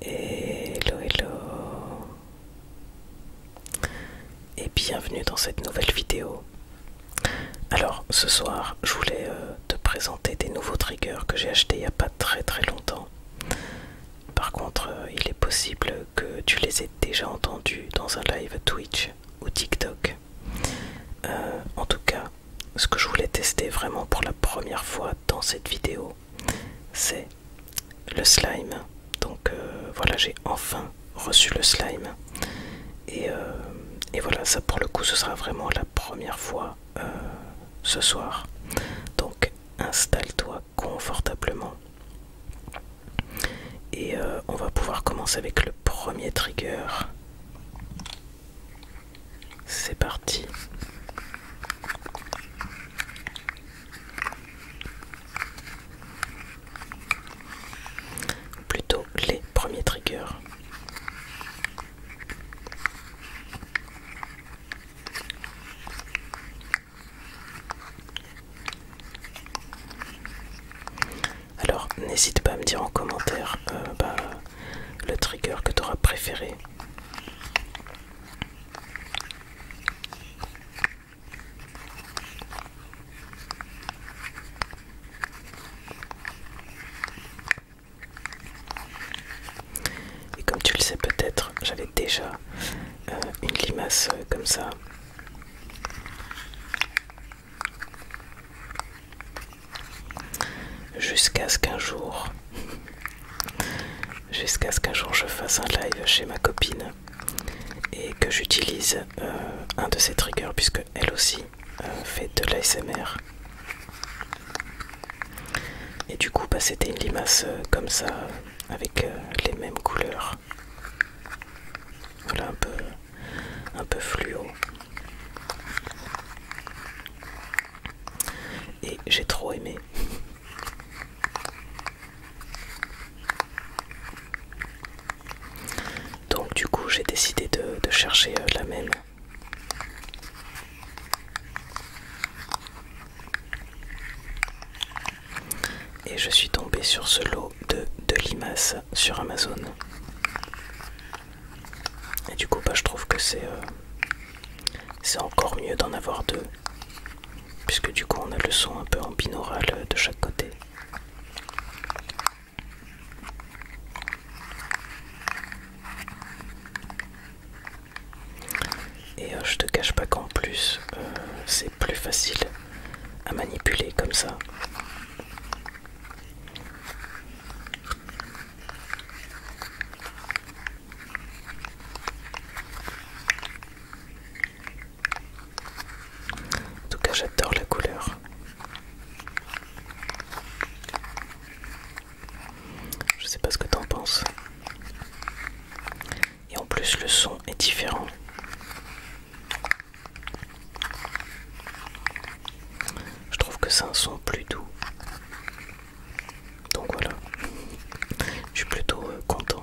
Hello, hello et bienvenue dans cette nouvelle vidéo. Alors ce soir je voulais euh, te présenter des nouveaux triggers que j'ai achetés il n'y a pas très très longtemps. Par contre euh, il est possible que tu les aies déjà entendus dans un live Twitch ou TikTok. Euh, en tout cas ce que je voulais tester vraiment pour la première fois dans cette vidéo, c'est le slime. Donc euh, voilà, j'ai enfin reçu le slime. Euh, et, voilà, ça pour le coup, ce sera vraiment la première fois euh, ce soir. Donc installe-toi confortablement. Et on va pouvoir commencer avec le premier trigger. C'est parti. Plutôt les premiers triggers. Alors n'hésite pas à me dire en commentaire euh, bah, le trigger que tu auras préféré. Et comme tu le sais peut-être, j'avais déjà euh, une limace euh, comme ça Jusqu'à ce qu'un jour, jusqu'à ce qu'un jour je fasse un live chez ma copine et que j'utilise euh, un de ses triggers puisque elle aussi euh, fait de l'ASMR. Et du coup, bah, c'était une limace euh, comme ça, avec les mêmes couleurs. Voilà, un peu fluo et j'ai trop aimé. Donc du coup j'ai décidé de, chercher euh, la même. Et je suis tombé sur ce lot de, de limaces sur Amazon. Et du coup, bah, je trouve que euh, c'est encore mieux d'en avoir deux. Puisque du coup, on a le son un peu en binaural euh, de chaque côté. Et euh, je te cache pas qu'en plus, c'est plus facile à manipuler comme ça. En tout cas, j'adore la couleur. Je sais pas ce que t'en penses. Et en plus, le son est différent. Je trouve que c'est un son plus doux. Donc voilà, je suis plutôt euh, content.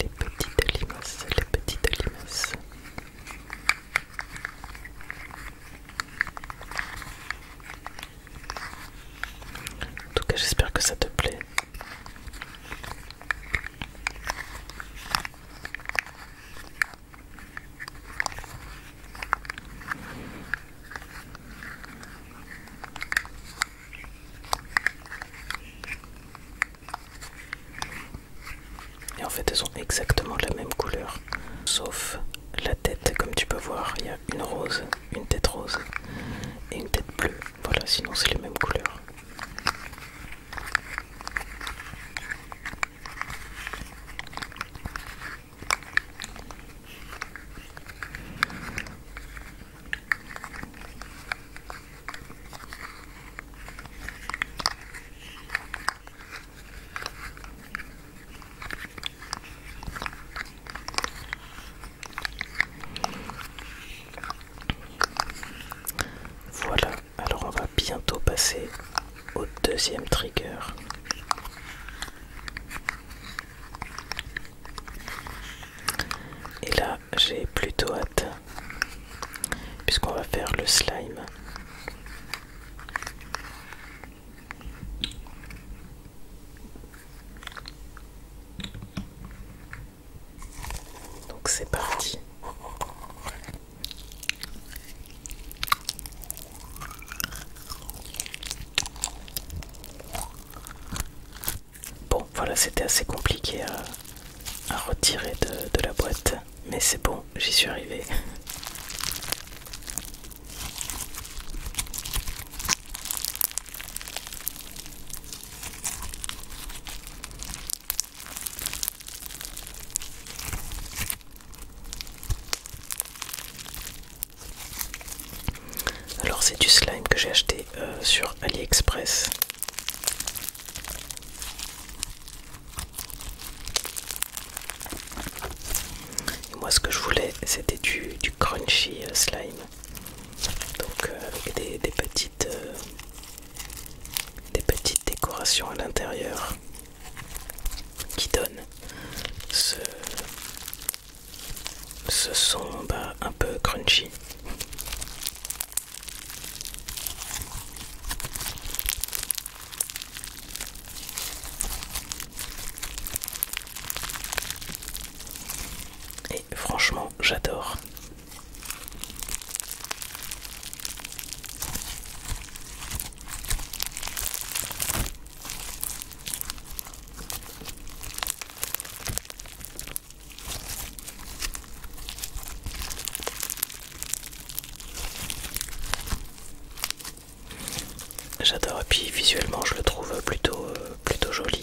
Les petites limaces, les petites limaces. En tout cas, j'espère que ça te plaît. Et en fait, elles ont exactement la même couleur, sauf la tête. Comme tu peux voir, il y a une rose, une tête rose et une tête bleue. Voilà, sinon c'est les mêmes couleurs. Voilà, alors on va bientôt passer au deuxième trigger. Et là, j'ai plutôt hâte, puisqu'on va faire le slime. Donc c'est parti. Bon, voilà, c'était assez compliqué à, retirer de la boîte, mais c'est bon, j'y suis arrivé. Alors c'est du slime que j'ai acheté euh, sur AliExpress. moi ce que je voulais c'était du, crunchy euh, slime. Donc euh, avec des petites décorations à l'intérieur qui donne ce, ce son bah, un peu crunchy. Et franchement, j'adore. J'adore et puis visuellement je le trouve plutôt euh, plutôt joli.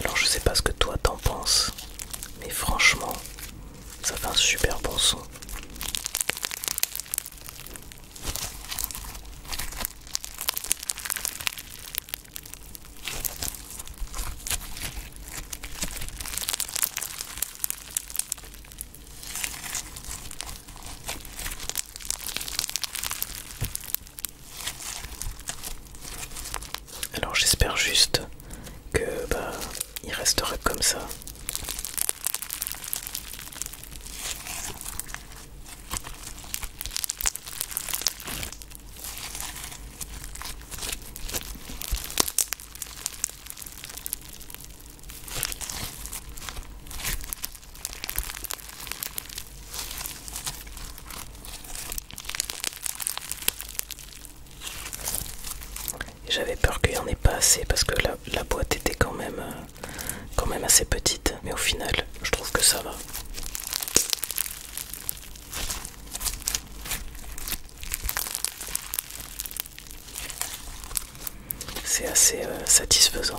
Alors je sais pas ce que toi t'en penses, mais franchement, ça fait un super bon son. Alors j'espère juste que bah, il restera comme ça. J'avais peur qu'il n'y en ait pas assez parce que la, boîte était quand même, euh, quand même assez petite. Mais au final, je trouve que ça va. C'est assez euh, satisfaisant.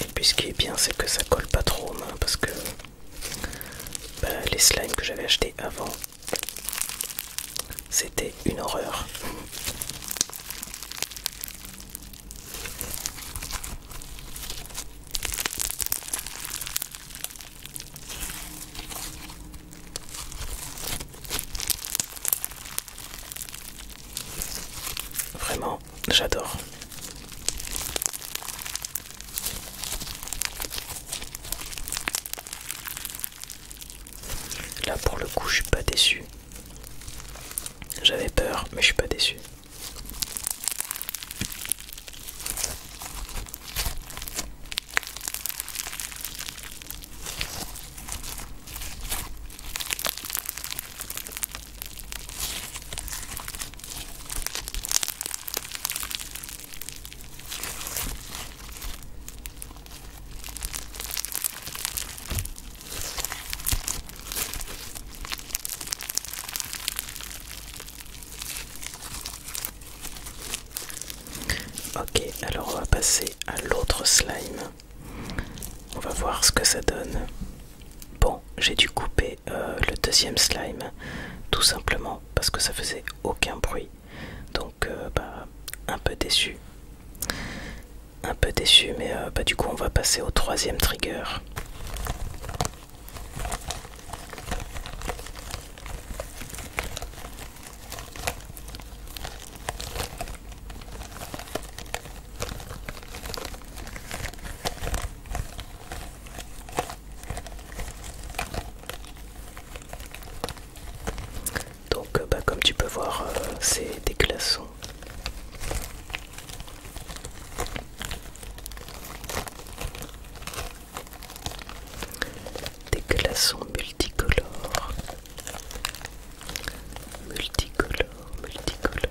Et puis ce qui est bien c'est que ça colle pas trop aux parce que bah, les slimes que j'avais acheté avant c'était une horreur. Vraiment, j'adore. Là pour le coup, je suis pas déçu. J'avais peur, mais je suis pas déçu. Ok, alors on va passer à l'autre slime. On va voir ce que ça donne. Bon, j'ai dû couper euh, le deuxième slime, tout simplement parce que ça faisait aucun bruit. Donc, euh, bah, un peu déçu. Un peu déçu, mais euh, bah, du coup, on va passer au troisième trigger. Donc euh, bah, comme tu peux voir euh, c'est des glaçons. Des glaçons multicolores multicolore, multicolore.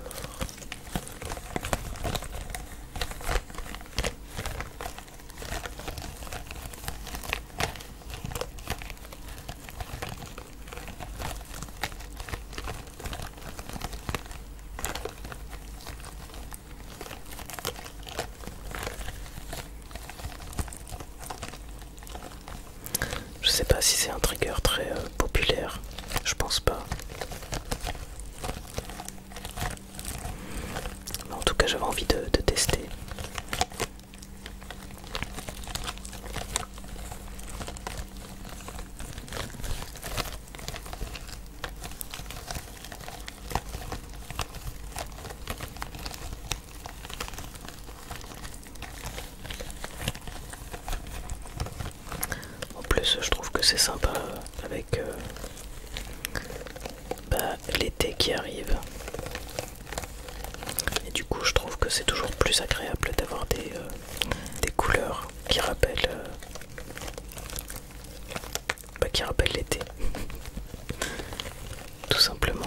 Je sais pas si c'est un trigger très euh, populaire, je pense pas. Mais en tout cas, j'avais envie de tester. En plus, je trouve que c'est sympa avec euh, bah, l'été qui arrive. Et du coup, je trouve que c'est toujours plus agréable d'avoir des, euh, couleurs qui rappellent euh, bah, l'été. tout simplement.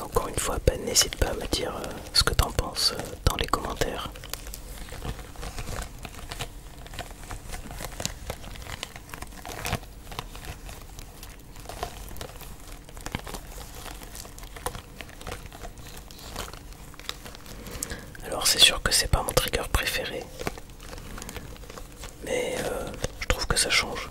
encore une fois, ben, n'hésite pas à me dire euh, ce que t'en penses euh, dans les commentaires. Alors c'est sûr que c'est pas mon trigger préféré, mais euh, je trouve que ça change.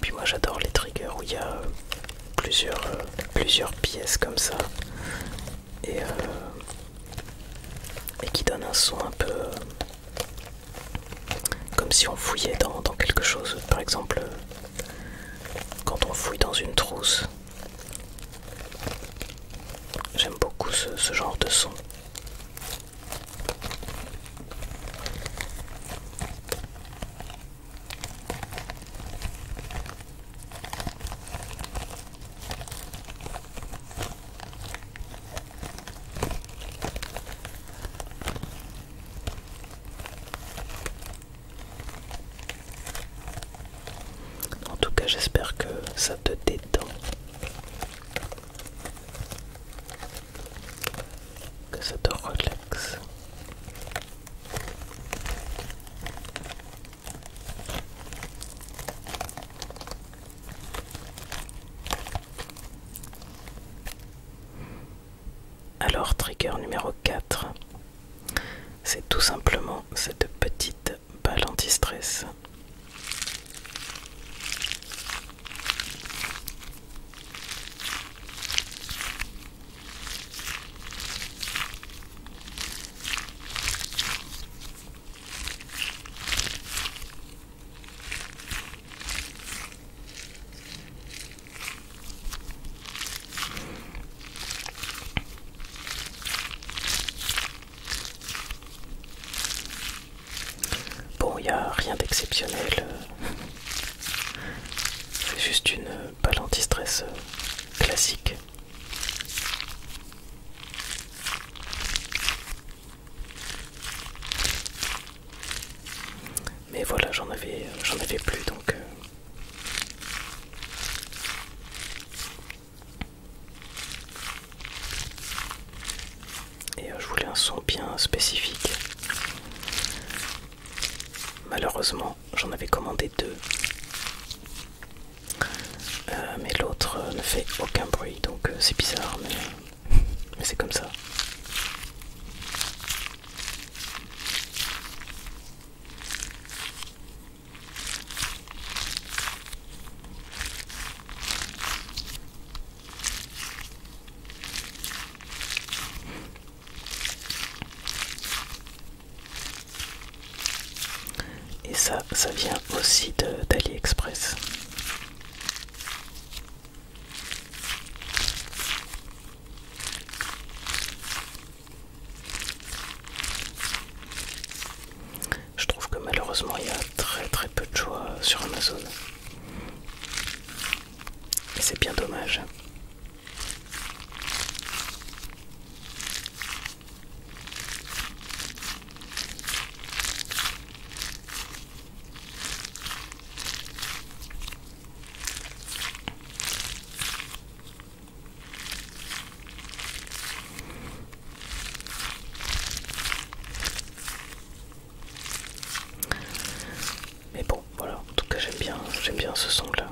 Puis moi j'adore les triggers où il y a euh, euh, plusieurs, pièces comme ça euh, et, qui donnent un son un peu comme si on fouillait dans quelque chose. Par exemple, quand on fouille dans une trousse, J'aime beaucoup ce, genre de son. En tout cas, j'espère que ça te détend. Que ça te relaxe. Alors, trigger numéro 4 c'est tout simplement cette petite balle anti-stress. Bon, il a rien d'exceptionnel. C'est juste une balle anti-stress classique. Mais voilà, j'en avais, j'en avais plus donc. Euh, et euh, je voulais un son bien spécifique. Malheureusement, j'en avais commandé deux. Euh, mais l'autre euh, ne fait aucun bruit, donc c'est bizarre, mais c'est comme ça. Et ça, ça vient aussi d'AliExpress. Je trouve que malheureusement il y a très très peu de choix sur Amazon. c'est bien dommage. Mais bon, voilà, en tout cas j'aime bien, j'aime bien ce son là.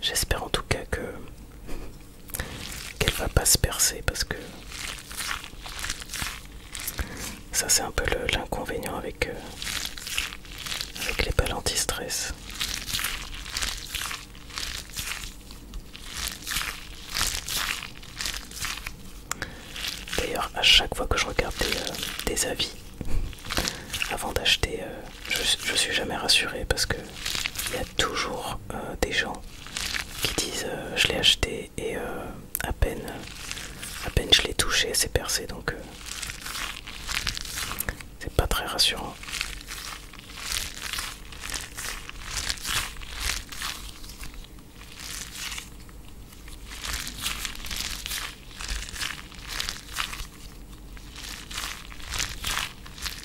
J'espère en tout cas que qu'elle va pas se percer parce que ça c'est un peu l'inconvénient avec, euh, avec les balles anti-stress. D'ailleurs, à chaque fois que je regarde des, euh, avis avant d'acheter, euh, je, suis jamais rassuré parce que il y a toujours des gens qui disent euh, je l'ai acheté et euh, à peine à peine je l'ai touché c'est percé donc euh, c'est pas très rassurant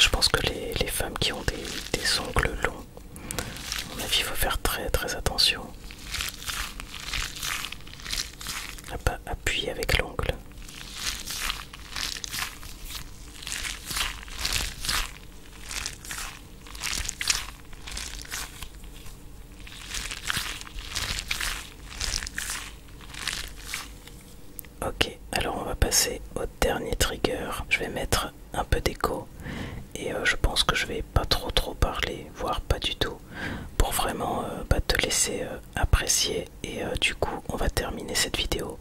je pense que les, femmes qui ont des, ongles longs, à mon avis, il faut faire très très attention à pas appuyer avec l'ongle. Ok, alors on va passer au dernier trigger. Je vais mettre un peu d'écho et euh, je pense que je vais pas trop trop parler, voire pas du tout, pour vraiment euh, bah, te laisser euh, apprécier et euh, du coup on va terminer cette vidéo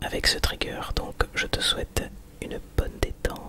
avec ce trigger donc je te souhaite une bonne détente